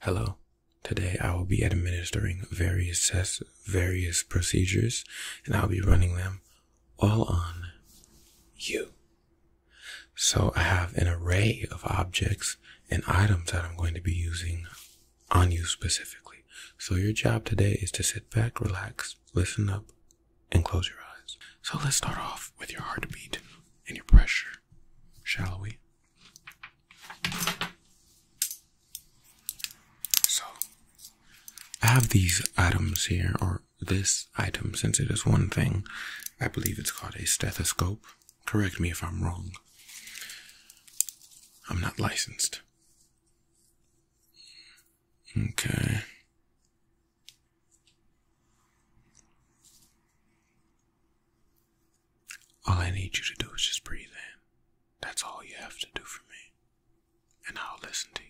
Hello. Today I will be administering various procedures, and I'll be running them all on you. So I have an array of objects and items that I'm going to be using on you specifically. So your job today is to sit back, relax, listen up, and close your eyes. So let's start off with your heartbeat and your pressure, shall we? So, I have these items here, or this item, since it is one thing. I believe it's called a stethoscope. Correct me if I'm wrong. I'm not licensed. Okay. All I need you to do is just breathe in. That's all you have to do for me. And I'll listen to you.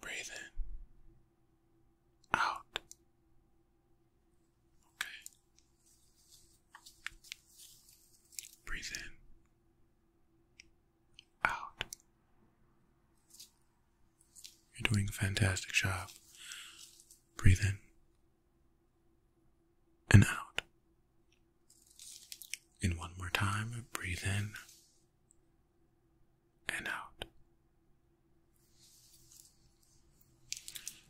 Breathe in. Out. Okay. Breathe in out. You're doing a fantastic job. Breathe in and out. And one more time, breathe in and out.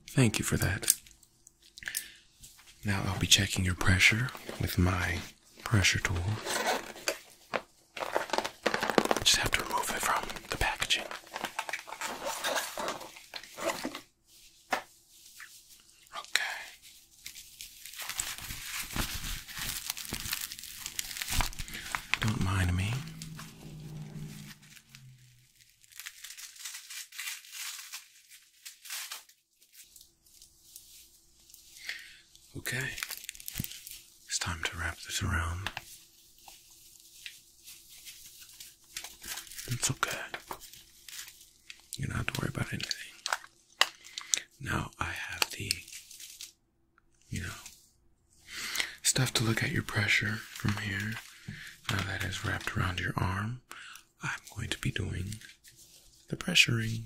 Thank you for that. Now I'll be checking your pressure with my pressure tool. Just have to remove it from the packaging. Okay. Don't mind me. Okay, it's time to wrap this around. It's okay. You don't have to worry about anything. Now I have the, you know, stuff to look at your pressure from here. Now that is wrapped around your arm, I'm going to be doing the pressuring.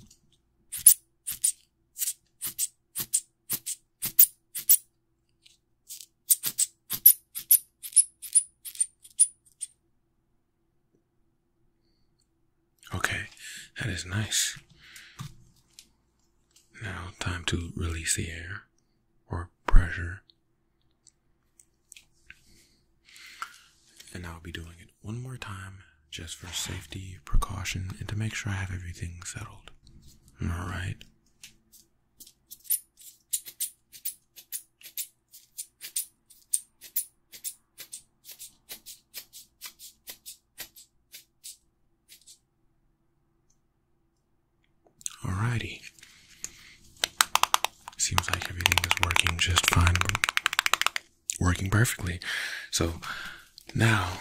Okay, that is nice. Now, time to release the air or pressure. And I'll be doing it one more time just for safety, precaution, and to make sure I have everything settled. Alright? Alrighty. Seems like everything is working just fine working perfectly. So now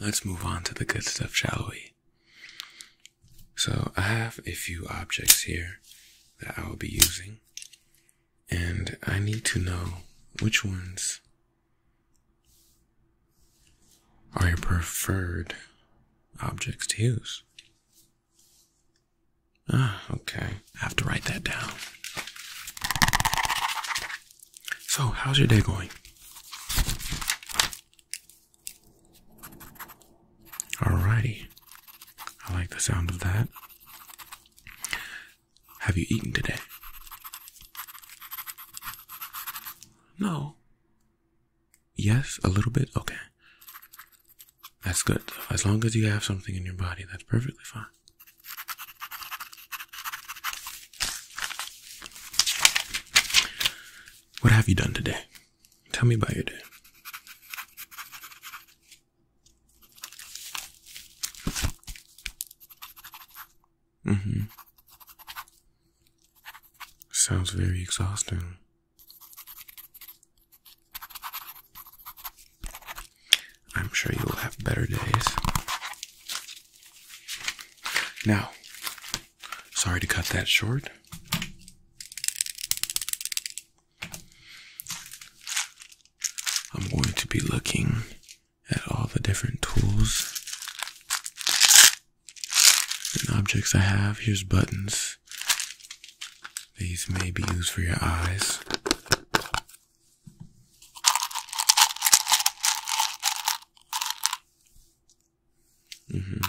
let's move on to the good stuff, shall we? So I have a few objects here that I will be using, and I need to know which ones are your preferred objects to use. Ah, okay. I have to write that down. So, how's your day going? All righty. I like the sound of that. Have you eaten today? No. Yes, a little bit? Okay. That's good, As long as you have something in your body, that's perfectly fine. What have you done today? Tell me about your day. hmm Sounds very exhausting. I'm sure you will have better days. Now, sorry to cut that short. I'm going to be looking at all the different tools and objects I have. Here's buttons. These may be used for your eyes. Mm-hmm.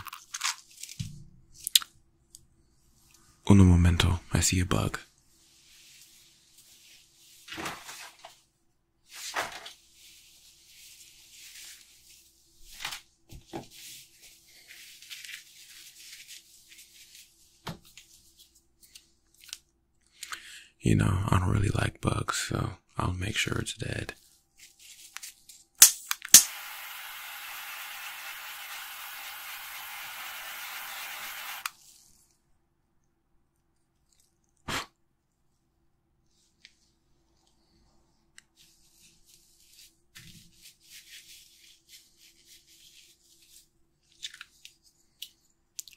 Uno momento, I see a bug. You know, I don't really like bugs, so I'll make sure it's dead.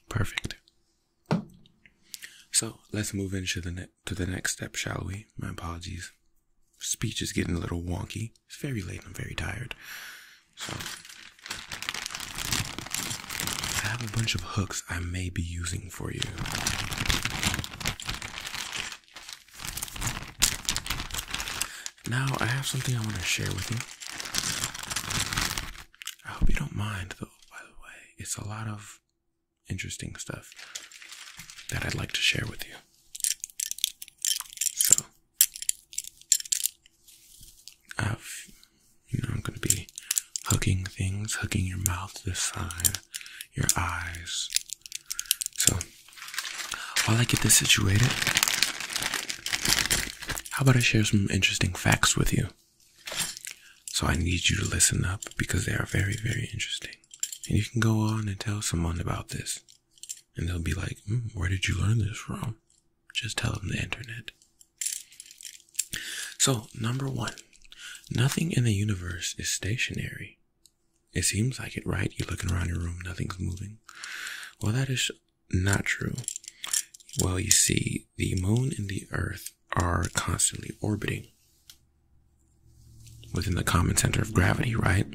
Perfect. So let's move into the to the next step, shall we? My apologies. Speech is getting a little wonky. It's very late. I'm very tired. So I have a bunch of hooks I may be using for you. Now I have something I want to share with you. I hope you don't mind, though, by the way. It's a lot of interesting stuff that I'd like to share with you. So, I've, you know, I'm going to be hugging things, hugging your mouth this side, your eyes. So, while I get this situated, how about I share some interesting facts with you? So I need you to listen up because they are very, very interesting. And you can go on and tell someone about this. And they'll be like, hmm, where did you learn this from? Just tell them the internet. So, number one, nothing in the universe is stationary. It seems like it, right? You're looking around your room, nothing's moving. Well, that is not true? Well, you see, the moon and the earth are constantly orbiting within the common center of gravity, right?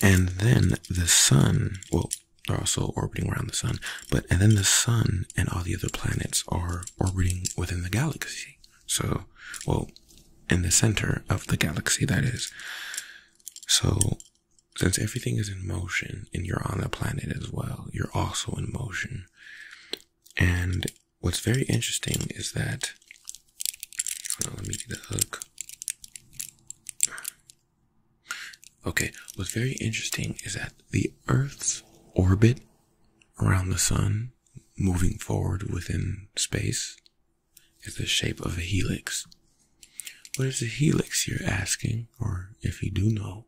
And then the sun, well, they're also orbiting around the sun, but and then the sun and all the other planets are orbiting within the galaxy. So, well, in the center of the galaxy, that is. So, since everything is in motion and you're on the planet as well, you're also in motion. And what's very interesting is that. let me do the hook. Okay, what's very interesting is that the Earth's orbit around the sun, moving forward within space, is the shape of a helix. What is a helix, you're asking, or if you do know,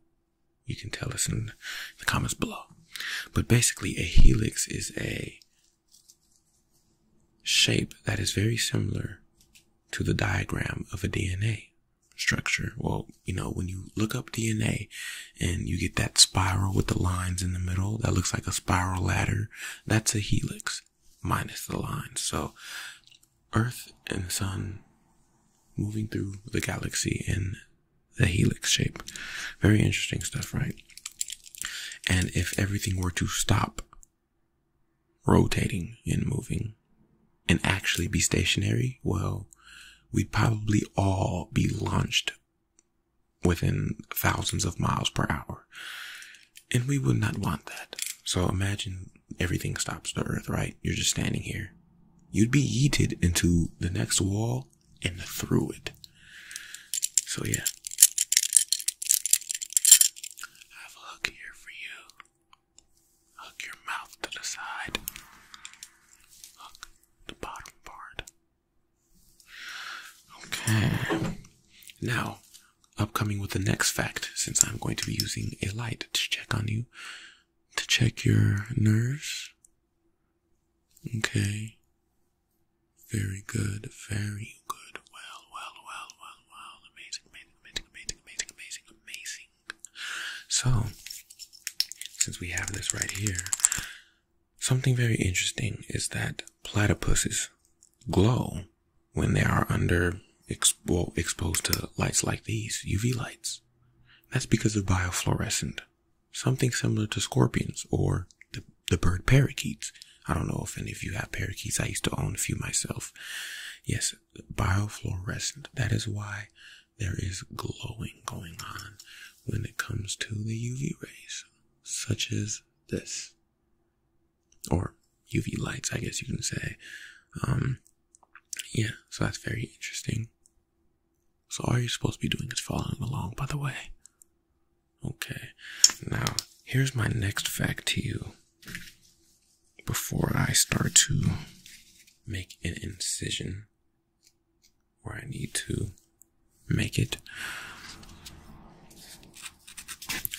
you can tell us in the comments below. But basically, a helix is a shape that is very similar to the diagram of a DNA structure. Well, you know, when you look up DNA and you get that spiral with the lines in the middle, that looks like a spiral ladder. That's a helix minus the lines. So Earth and the Sun moving through the galaxy in the helix shape. Very interesting stuff, right? And if everything were to stop rotating and moving and actually be stationary, well, we'd probably all be launched within thousands of miles per hour. And we would not want that. So imagine everything stops the earth, right? You're just standing here. You'd be yeeted into the next wall and through it. So, yeah. have a hook here for you. Hook your mouth to the side. Hook the bottom part. Okay. Now, upcoming with the next fact, since I'm going to be using a light to check on you, to check your nerves? Okay. Very good, very good. Well, well, well, well, well. Amazing, amazing, amazing, amazing, amazing, amazing, amazing. So, since we have this right here, something very interesting is that platypuses glow when they are under expo exposed to lights like these, UV lights. That's because of biofluorescent, something similar to scorpions or the, the bird parakeets. I don't know if any of you have parakeets. I used to own a few myself. Yes, biofluorescent. That is why there is glowing going on when it comes to the UV rays, such as this, or UV lights, I guess you can say. Um, yeah, so that's very interesting. So all you're supposed to be doing is following along, by the way. Okay, now here's my next fact to you. Before I start to make an incision where I need to make it,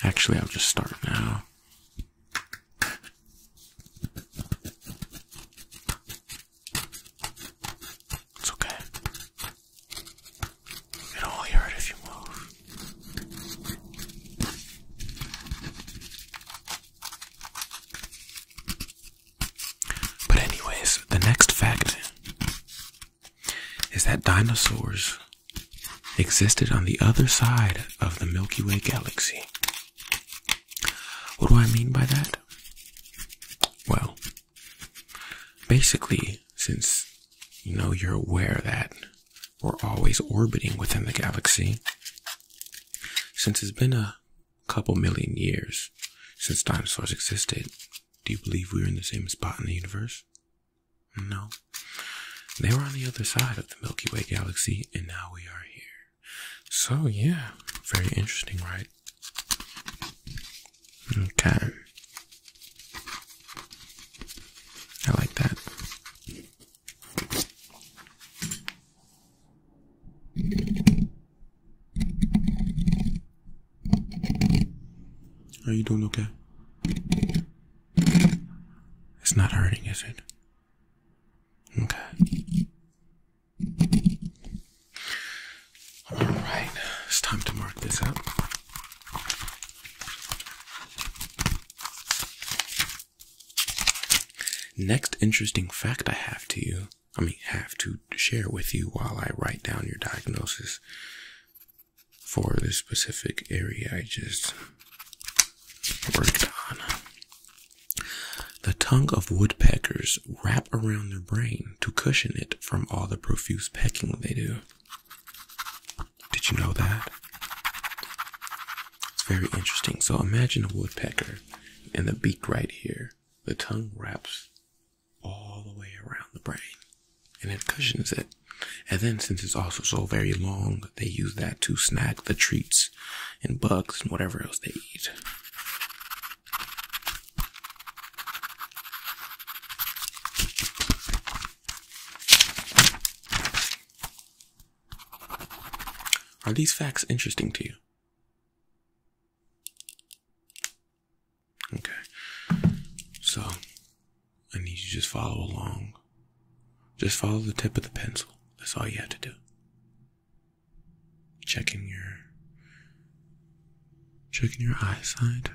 actually, I'll just start now. It's okay. It'll only hurt if you move. But, anyways, the next fact is that dinosaurs existed on the other side of the Milky Way galaxy. What do I mean by that? Well, basically, since you know you're aware that we're always orbiting within the galaxy, since it's been a couple million years since dinosaurs existed, do you believe we are in the same spot in the universe? No. They were on the other side of the Milky Way galaxy, and now we are here. So, yeah, very interesting, right? Okay. I like that. Are you doing okay? It's not hurting, is it? Okay. Alright, it's time to mark this up. Next interesting fact I have to you, I mean, have to share with you while I write down your diagnosis for the specific area I just worked on. The tongue of woodpeckers wrap around their brain to cushion it from all the profuse pecking they do. Did you know that? It's very interesting. So imagine a woodpecker and the beak right here. The tongue wraps all the way around the brain and it cushions it. And then, since it's also so very long, they use that to snack the treats and bugs and whatever else they eat. Are these facts interesting to you? Okay. So, I need you to just follow along. Just follow the tip of the pencil. That's all you have to do. Checking your checking your eyesight.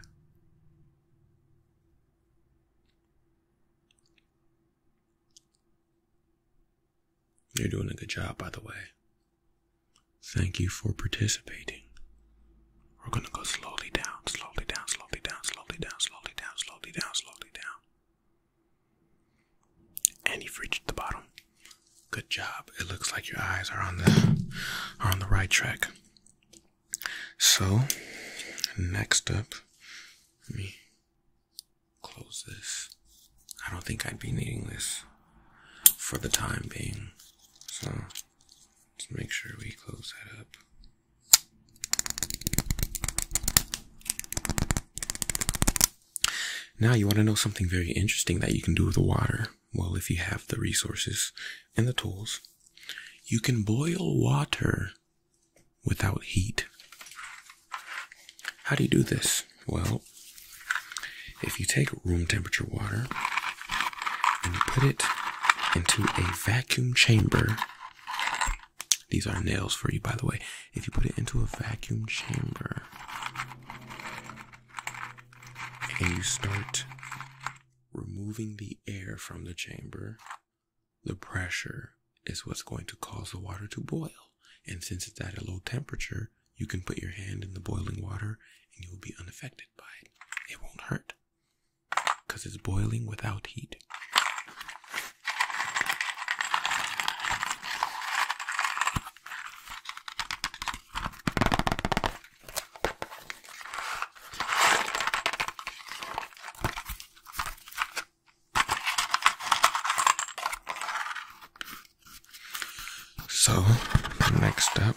You're doing a good job, by the way. Thank you for participating. We're gonna go slowly down, slowly down, slowly down, slowly down, slowly down, slowly down, slowly down. And you've reached the bottom. Good job. It looks like your eyes are on the are on the right track. So next up, let me close this. I don't think I'd be needing this for the time being. So let's make sure we close that up. Now, you want to know something very interesting that you can do with the water. Well, if you have the resources and the tools, you can boil water without heat. How do you do this? Well, if you take room temperature water and put it into a vacuum chamber these are nails for you, by the way. If you put it into a vacuum chamber and you start removing the air from the chamber, the pressure is what's going to cause the water to boil. And since it's at a low temperature, you can put your hand in the boiling water and you will be unaffected by it. It won't hurt because it's boiling without heat. So, next up.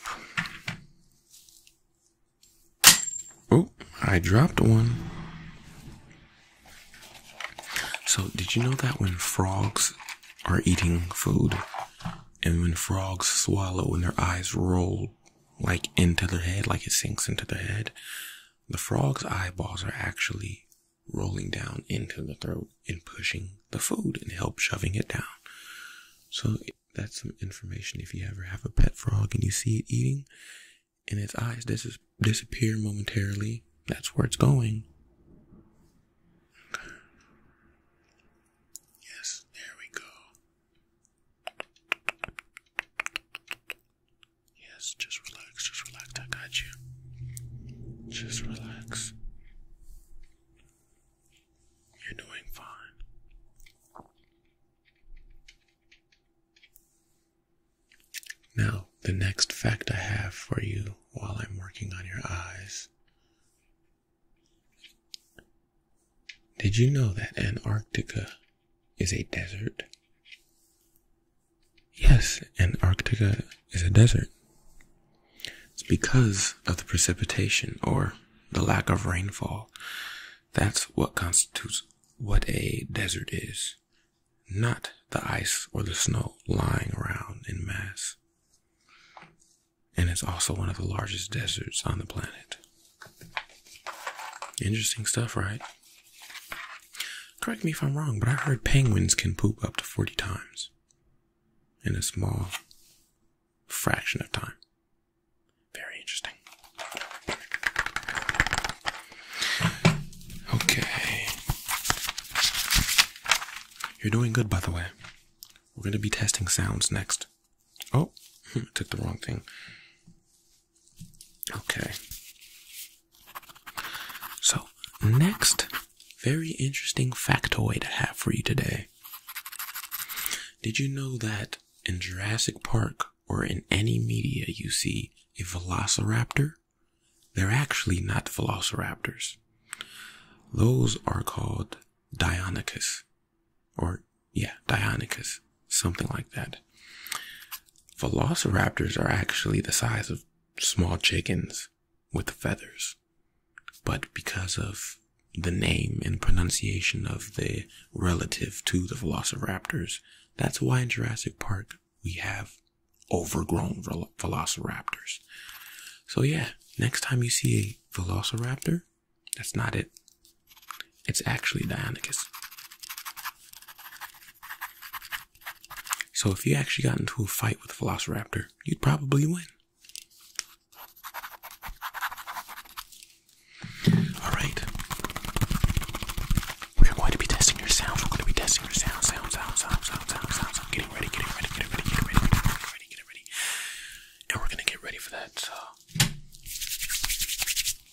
Oh, I dropped one. So, did you know that when frogs are eating food and when frogs swallow and their eyes roll like into their head, like it sinks into their head, the frog's eyeballs are actually rolling down into the throat and pushing the food and help shoving it down. So, that's some information if you ever have a pet frog and you see it eating and its eyes dis- disappear momentarily. That's where it's going. Yes, there we go. Yes, just relax, just relax. I got you. Just relax. You're doing fine. Now, the next fact I have for you while I'm working on your eyes. Did you know that Antarctica is a desert? Yes, Antarctica is a desert. It's because of the precipitation or the lack of rainfall. That's what constitutes what a desert is not the ice or the snow lying around in mass. And it's also one of the largest deserts on the planet. Interesting stuff, right? Correct me if I'm wrong, but I heard penguins can poop up to 40 times in a small fraction of time. Very interesting. Okay. You're doing good, by the way. We're going to be testing sounds next. Oh, hmm, I took the wrong thing. Okay. So, next very interesting factoid I have for you today. Did you know that in Jurassic Park or in any media you see a velociraptor, they're actually not velociraptors. Those are called Deinonychus, or yeah, Deinonychus, something like that. Velociraptors are actually the size of small chickens with feathers, but because of the name and pronunciation of the relative to the velociraptors, that's why in Jurassic Park we have overgrown velociraptors. So, yeah, next time you see a velociraptor, that's not it. It's actually Dianicus. So, if you actually got into a fight with a velociraptor, you'd probably win. All right. We are going to be testing your sounds. We're going to be testing your sound, sound, sound, sound, sound, sound, sound, sound. Getting ready, getting ready, getting ready, getting ready, getting ready, getting ready, getting ready. And we're going to get ready for that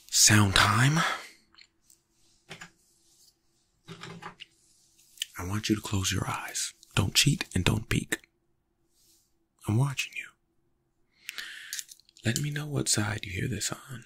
sound time. I want you to close your eyes. Don't cheat and don't peek. I'm watching you. Let me know what side you hear this on.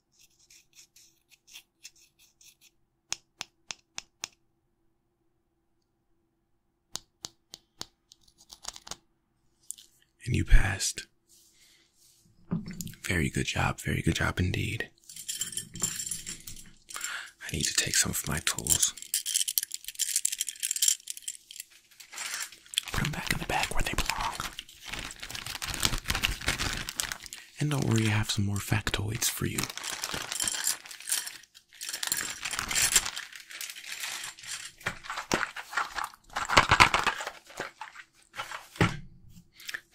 And you passed. Very good job, very good job indeed. I need to take some of my tools. Put them back in the bag where they belong. And don't worry, I have some more factoids for you.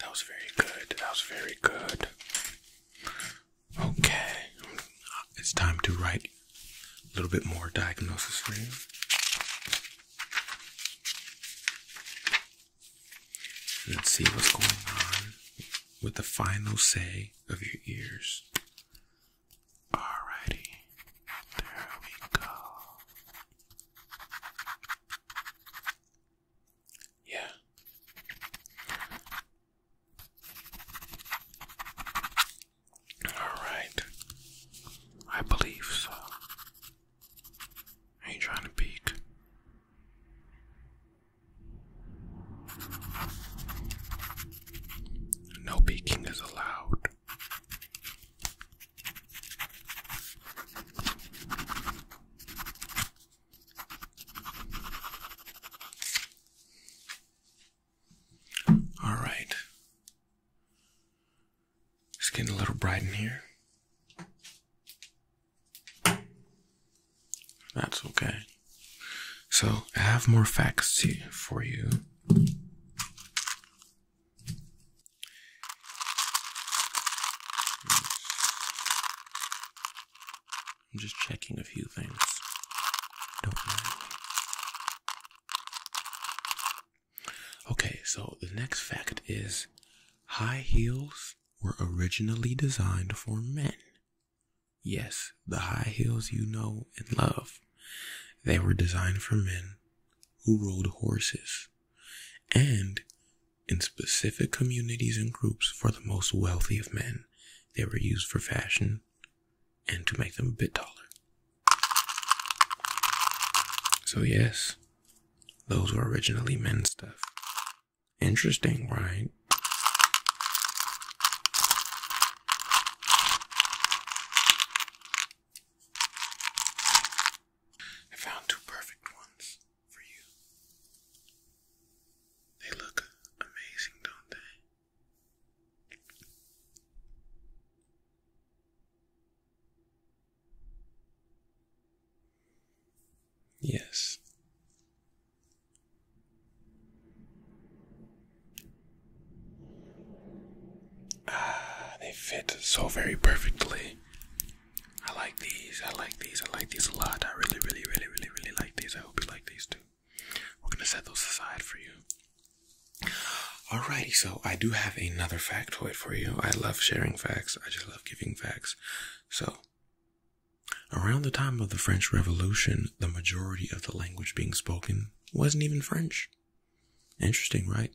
That was very good. That was very good. Okay. It's time to write a little bit more diagnosis for you. Let's see what's going on with the final say of your ears. Alrighty, there we go. Yeah. Alright. I believe so. Are you trying to peek? No peeking is allowed. All right. It's getting a little bright in here. That's okay. So I have more facts for you. I'm just checking a few things. Okay, so the next fact is high heels were originally designed for men. Yes, the high heels you know and love. They were designed for men who rode horses and in specific communities and groups for the most wealthy of men. They were used for fashion and to make them a bit taller. So, yes, those were originally men's stuff. Interesting, right? I found two perfect ones for you. They look amazing, don't they? Yes. Ah, they fit so very perfectly. I like these. I like these. I like these a lot. I really, really, really, really, really like these. I hope you like these too. We're gonna set those aside for you. Alrighty, so I do have another factoid for you. I love sharing facts. I just love giving facts. So Around the time of the French Revolution, the majority of the language being spoken wasn't even French. Interesting, right?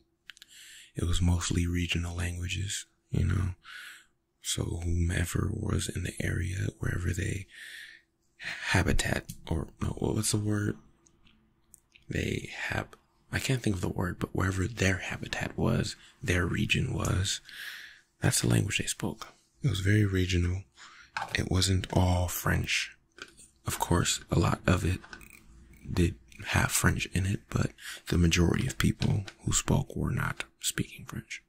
It was mostly regional languages, you know. So whomever was in the area, wherever they habitat or no, what's the word? They have I can't think of the word, but wherever their habitat was, their region was, that's the language they spoke. It was very regional. It wasn't all French. Of course, a lot of it did have French in it, but the majority of people who spoke were not speaking French.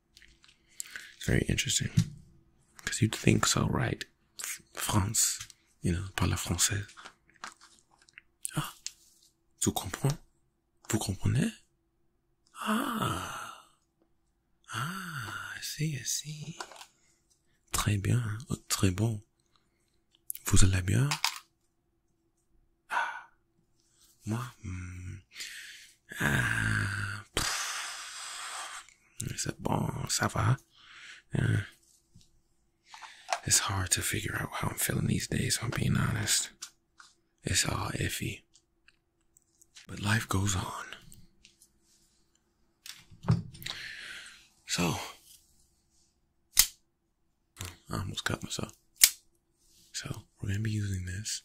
It's very interesting. Because you'd think so, right? France, you know, par la français. Ah, tu comprends? Vous comprenez? Ah. Ah, si, si. Très bien, oh, très bon. Vous allez bien? Ah. Moi? Hmm. Ah. C'est bon, ça va? Yeah. It's hard to figure out how I'm feeling these days, if I'm being honest. It's all iffy. But life goes on. So, I almost cut myself. So, we're going to be using this.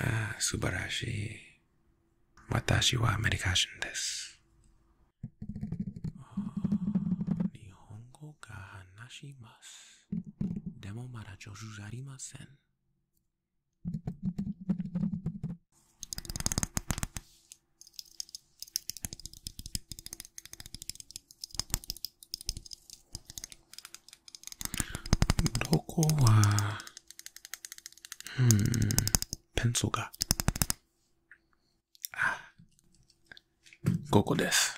ああ、素晴らしい。私はアメリカ人です。日本語が話します。でもまだ上手じゃありません。どこは、うん、ペンソが。あ、ここです。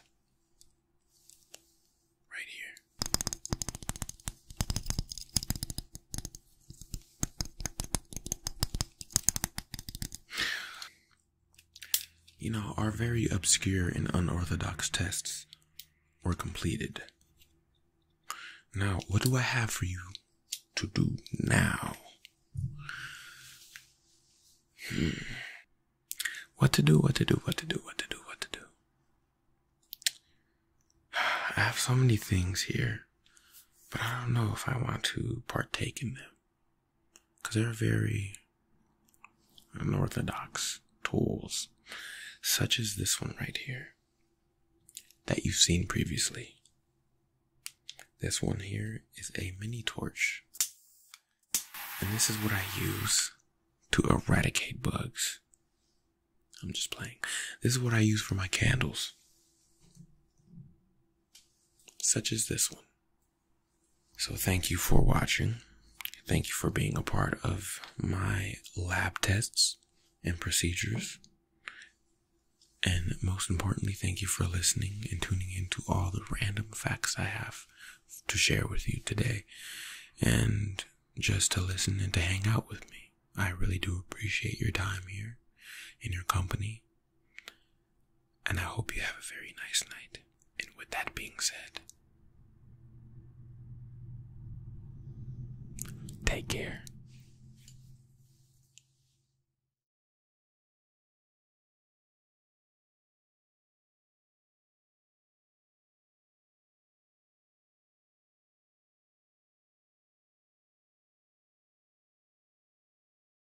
you know, our very obscure and unorthodox tests were completed. Now, what do I have for you to do now? Hmm. What to do, what to do, what to do, what to do, what to do. I have so many things here, but I don't know if I want to partake in them because they're very unorthodox tools, such as this one right here that you've seen previously. This one here is a mini torch, and this is what I use to eradicate bugs. I'm just playing. This is what I use for my candles, such as this one. So, thank you for watching. Thank you for being a part of my lab tests and procedures. And most importantly, thank you for listening and tuning in to all the random facts I have to share with you today and just to listen and to hang out with me. I really do appreciate your time here and your company and I hope you have a very nice night. And with that being said, take care.